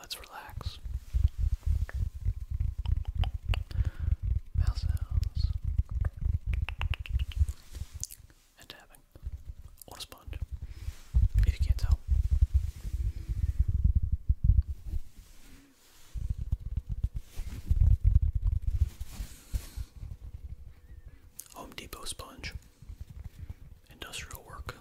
Let's relax. Mouth sounds. And tapping. On sponge. If you can't tell. Home Depot sponge industrial work.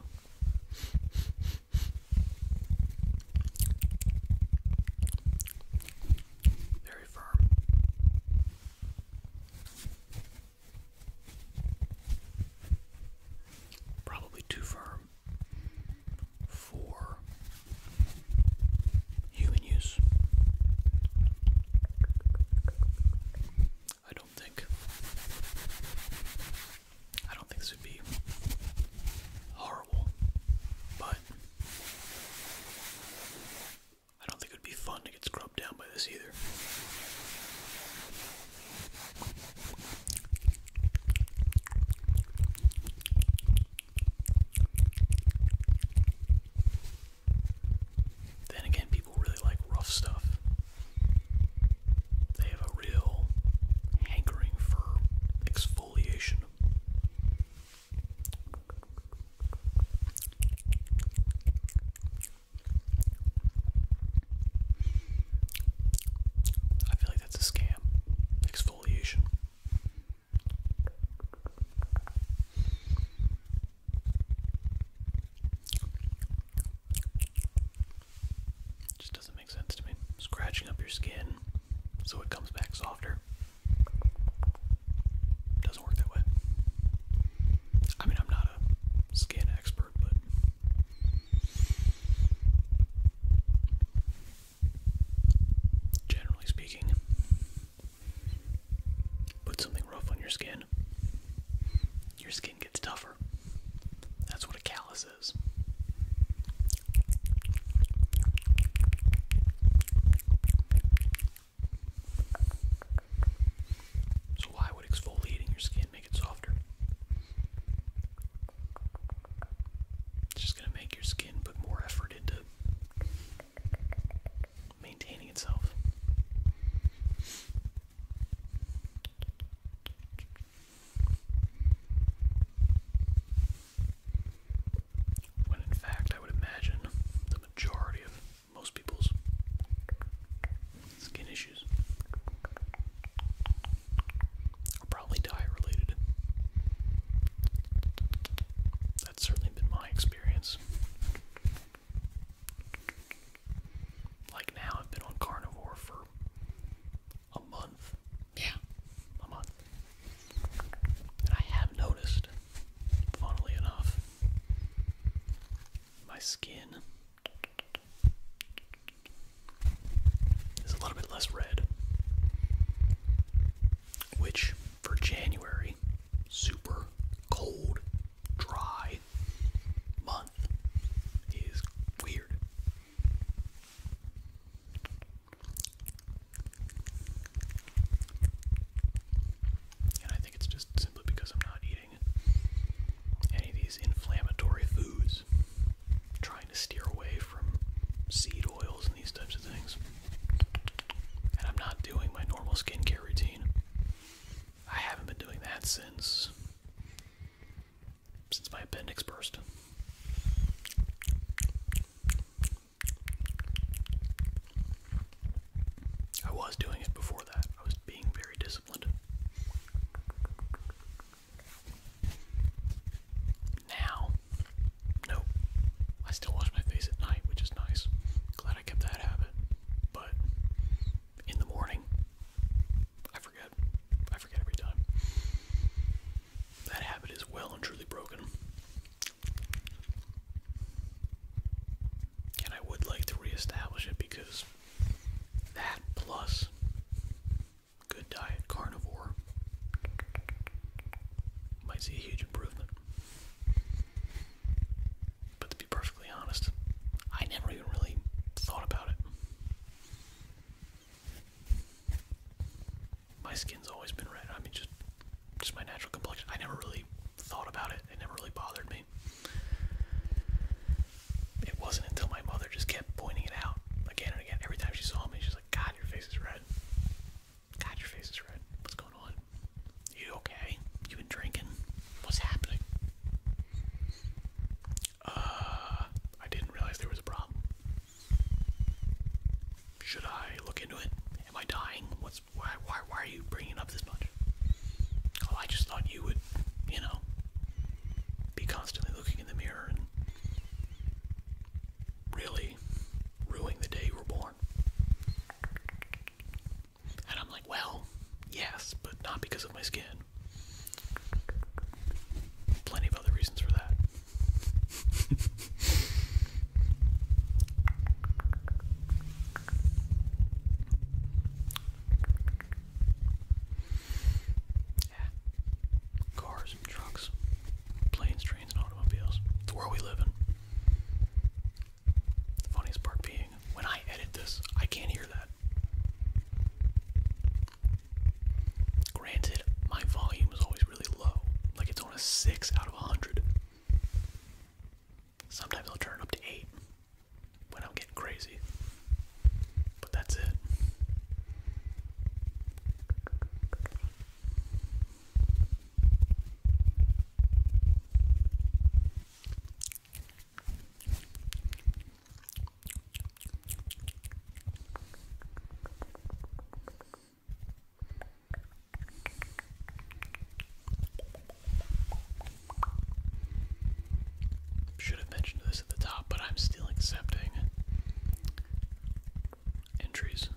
Very firm. Probably too firm for human use. I don't think I don't think this would be horrible, but I don't think it would be fun to get scrubbed down by this either. Then again, people really like rough stuff. They have a real hankering for exfoliation. I feel like that's a scam. Exfoliation. It just doesn't make sense to me. Scratching up your skin so it comes back softer. Doesn't work that way. I mean, I'm not a skin expert, but. Generally speaking, put something rough on your skin, your skin gets tougher. That's what a callus is is. So, why would exfoliating your skin make it softer? It's just going to make your skin put more effort into maintaining itself. When in fact, I would imagine the majority of most people's skin issues are probably diet related. That's certainly been my experience. Like now, I've been on carnivore for a month. Yeah, a month. And I have noticed, funnily enough, my skin is a little bit less red. Which for January, super cold, dry month is weird. And I think it's just simply because I'm not eating any of these inflammatory foods. trying to steer away from seed oils and these types of things. And I'm not doing my normal skincare routine. I haven't been doing that since since my appendix burst. I was doing it before that. I was being very disciplined. Now, nope. I still wash my face at night, which is nice. Glad I kept that habit. But in the morning, I forget. I forget every time. That habit is well and truly broken. And I would like to reestablish it because that plus good diet carnivore might see a huge improvement. But to be perfectly honest, I never even really thought about it. My skin's always been red. I mean, just just my natural complexion. I never really thought about it. It never really bothered me. It wasn't until my mother just kept pointing it out again and again. Every time she saw me, she's like, "God, your face is red. God, your face is red. What's going on? You okay? You been drinking? What's happening?" Uh, I didn't realize there was a problem. Should I look into it? Am I dying? What's why? Why? are you bringing up this much? Oh, I just thought you would, you know, be constantly looking in the mirror and really ruining the day you were born. And I'm like, well, yes, but not because of my skin. Plenty of other reasons for that yeah. Cars trucks, planes, trains, and automobiles. It's where we live in. funniest part being, when I edit this, I can't hear that. Granted, my volume is always really low. Like it's on a 6 out of 100. Sometimes I'll turn up to 8 when I'm getting crazy. But that's it. Should have mentioned this at the top, but I'm still accepting entries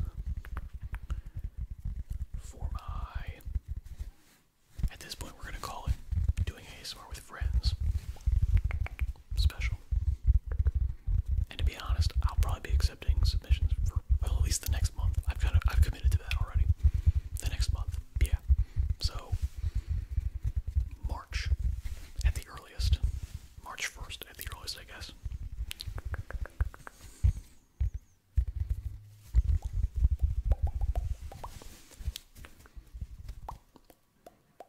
for my. At this point, we're going to call it doing ASMR with friends special. And to be honest, I'll probably be accepting submissions for well at least the next month. I've kind of I've committed to that already. The next month, yeah. So March at the earliest. March first at the earliest, I guess.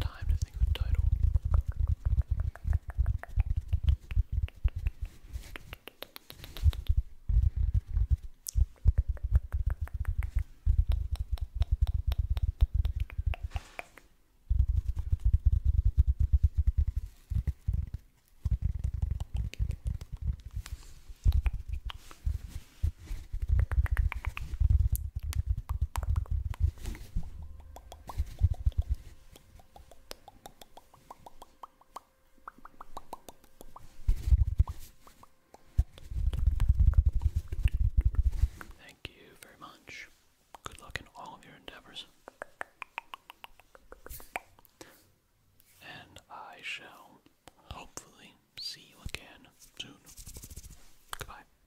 time to think of a title. Thank you very much. Good luck in all of your endeavors. And I shall hopefully see you again soon. Goodbye.